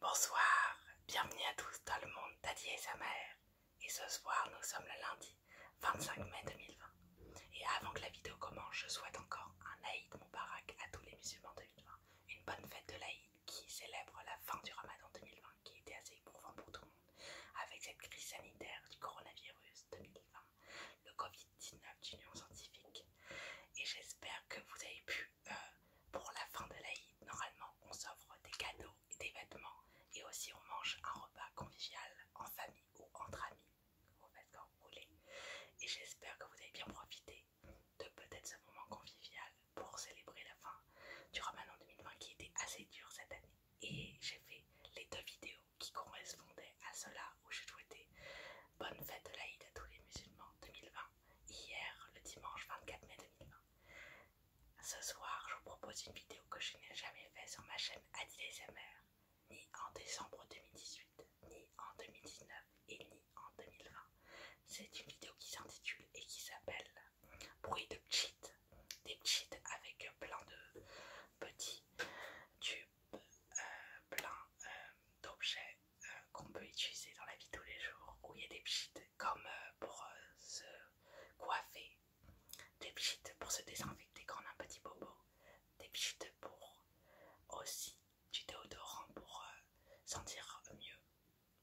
Bonsoir, bienvenue à tous dans le monde d'Adi et sa mère. Et ce soir, nous sommes le lundi 25 mai 2020. Et avant que la vidéo commence, je souhaite encore un Aïd Moubarak à tous les musulmans 2020. Une bonne fête de l'Aïd qui célèbre la fin du Ramadan 2020 qui était assez éprouvant pour tout le monde avec cette crise sanitaire du coronavirus 2020, le Covid-19 d'Union Scientifique. Et j'espère que vous avez pu euh, pour la fin de l'Aïd, normalement on s'offre des cadeaux et des vêtements et aussi on mange un repas convivial en famille ou entre amis, vous faites quand vous voulez. Et j'espère que vous avez bien profité de peut-être ce moment convivial pour célébrer la fin du Ramadan 2020 qui était assez dur cette année. Et j'ai fait les deux vidéos qui correspondaient à cela où je souhaitais bonne fête de l'Aïd à tous les musulmans 2020 hier, le dimanche 24 mai 2020. Ce soir, je vous propose une vidéo que je n'ai jamais faite sur ma chaîne AdileSMR, ni en décembre 2018, ni en 2019 et ni en 2020. C'est une vidéo qui s'intitule et qui s'appelle Bruit de cheat, des cheats avec plein de petits tubes, euh, plein euh, d'objets euh, qu'on peut utiliser dans la vie tous les jours où il y a des pchites comme euh, pour euh, se coiffer, des pchites pour se désinfecter quand on a un petit bobo, des pchites pour aussi du déodorant pour sentir mieux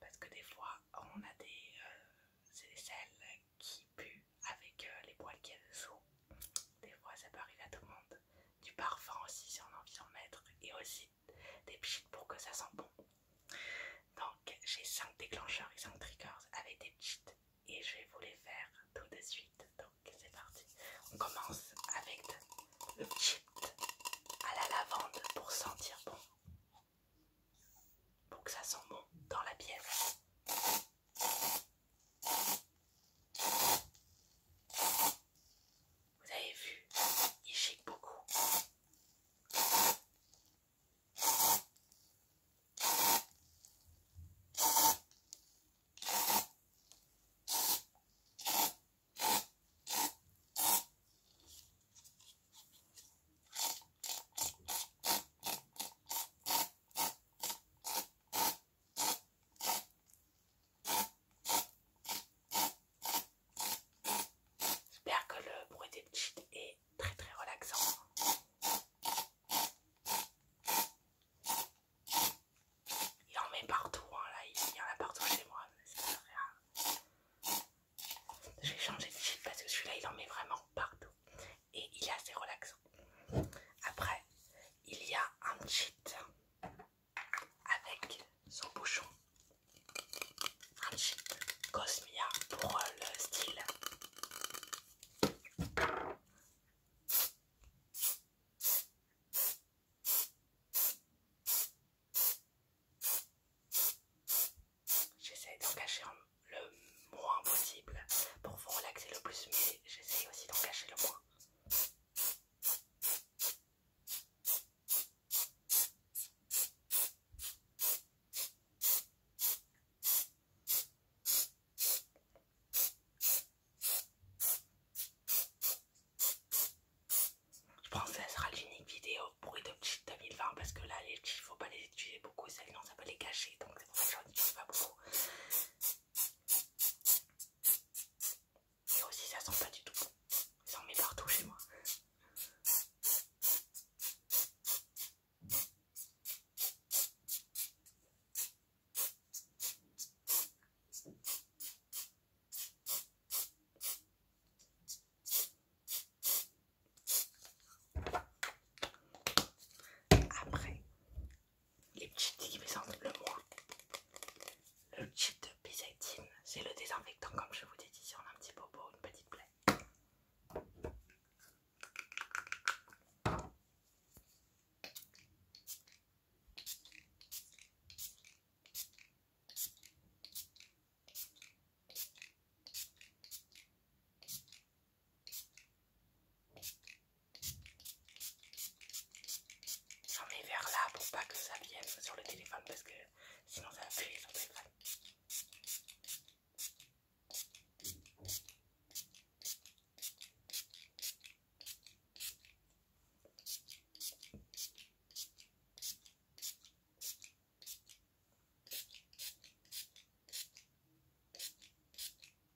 parce que des fois on a des aisselles qui puent avec les poils qu'il y a dessous. Des fois ça peut arriver à tout le monde du parfum aussi si on a envie d'en mettre et aussi des petites pour que ça sent bon. Donc j'ai 5 déclencheurs et 5 triggers avec des pichets, et je vais vous les faire tout de suite. Donc c'est parti. On commence avec le cheat à la lavande pour sentir bon. Pour que ça sent bon dans la pièce. Vous avez vu, il chic beaucoup. J'espère que le bruit des cheats est très très relaxant. Il en met partout, hein, il y en a partout chez moi, je vais changer J'ai changé de cheat parce que celui-là il en met vraiment partout et il est assez relaxant. Après, il y a un cheat avec son bouchon Friendship Cosmia pour le style. J'essaie d'en cacher le moins possible pour vous relaxer le plus, mais j'essaie aussi d'en cacher le moins. Je pense que ça sera l'unique vidéo bruit de cheat 2020 parce que là les cheats faut pas les utiliser beaucoup, sinon ça peut les cacher donc c'est ça ne pas beaucoup. Mais aussi ça sent pas du tout bon. Ça en met partout chez moi. Après, les petits qui me le moins. Le chip de Byzantine, c'est le désinfectant comme je vous dis, dit on a un petit bobo, une petite plaie. J'en mets vers là pour pas que ça vienne sur le téléphone parce que sinon ça va sur le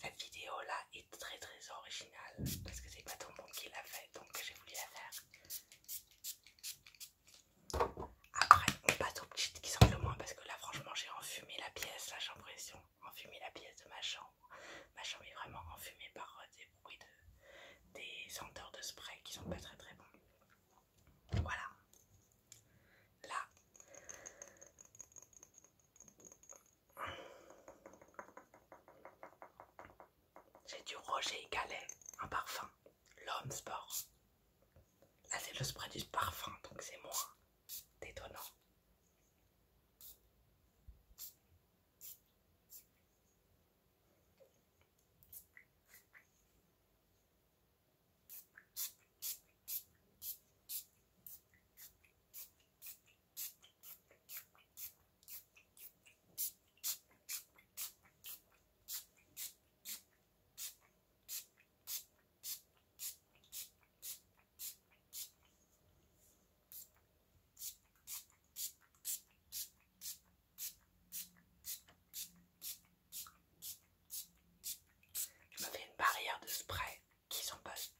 Cette vidéo là est très très originale parce que c'est pas tout le monde qui l'a fait donc j'ai voulu la faire après, pas passe aux qui sent le moins parce que là, franchement, j'ai enfumé la pièce, j'ai l'impression. Enfumé la pièce de ma chambre. Ma chambre est vraiment enfumée par euh, des bruits de. des senteurs de spray qui sont pas très très bons. Voilà. Là. J'ai du Roger Galais, un parfum, l'homme sport. Là c'est le spray du parfum, donc c'est moi. détonnant. Je avez une barrière de spray qui s'en passe.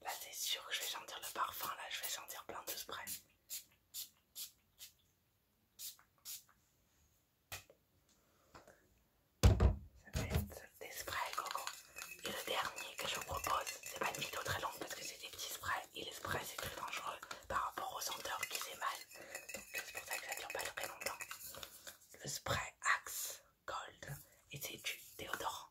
Là c'est sûr que je vais sentir le parfum, là je vais sentir plein de sprays. Ça va être des sprays coco. Et le dernier que je vous propose, c'est pas une vidéo très longue parce que c'est des petits sprays et les sprays c'est plus dangereux par rapport aux senteurs qui mal. Donc c'est pour ça que ça dure pas très longtemps. Le spray Axe Gold était une Theodore.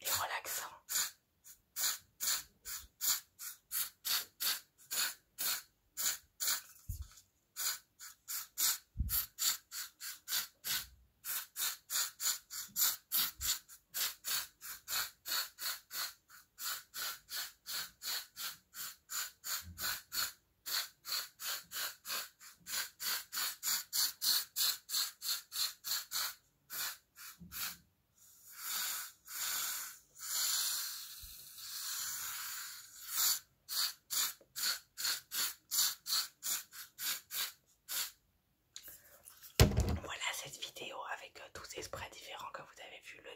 Il est relaxant. Voilà cette vidéo avec euh, tous ces sprays différents que vous avez vu, le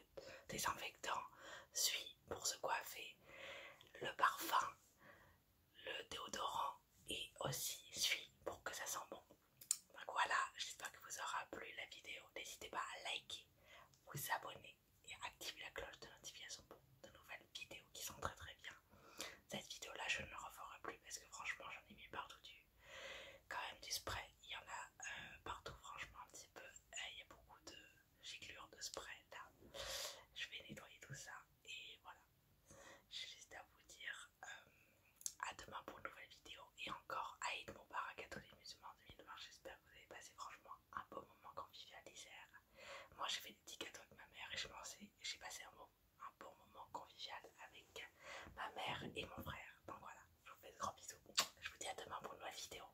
désinfectant, suit pour se coiffer, le parfum, le déodorant et aussi celui pour que ça sent bon. Donc voilà, j'espère que vous aurez plu la vidéo. N'hésitez pas à liker, vous abonner et activer la cloche de notification pour de nouvelles vidéos qui sont très très bien. Cette vidéo là, je ne referai plus parce que franchement, j'en ai mis partout du quand même du spray. Il y en a euh, partout, franchement, un petit peu. Euh, il y a beaucoup de j'ai giclure de spray là. Hein. Je vais nettoyer tout ça et voilà. J'ai juste à vous dire euh, à demain pour une nouvelle vidéo et encore à Aïd mon à les musulmans 2020. J'espère que vous avez passé franchement un beau moment convivial hier. Moi j'ai fait des petits cadeaux avec ma mère et j'ai passé un, beau, un bon moment convivial avec ma mère et mon frère. Donc voilà, je vous fais de grands bisous. Je vous dis à demain pour une nouvelle vidéo.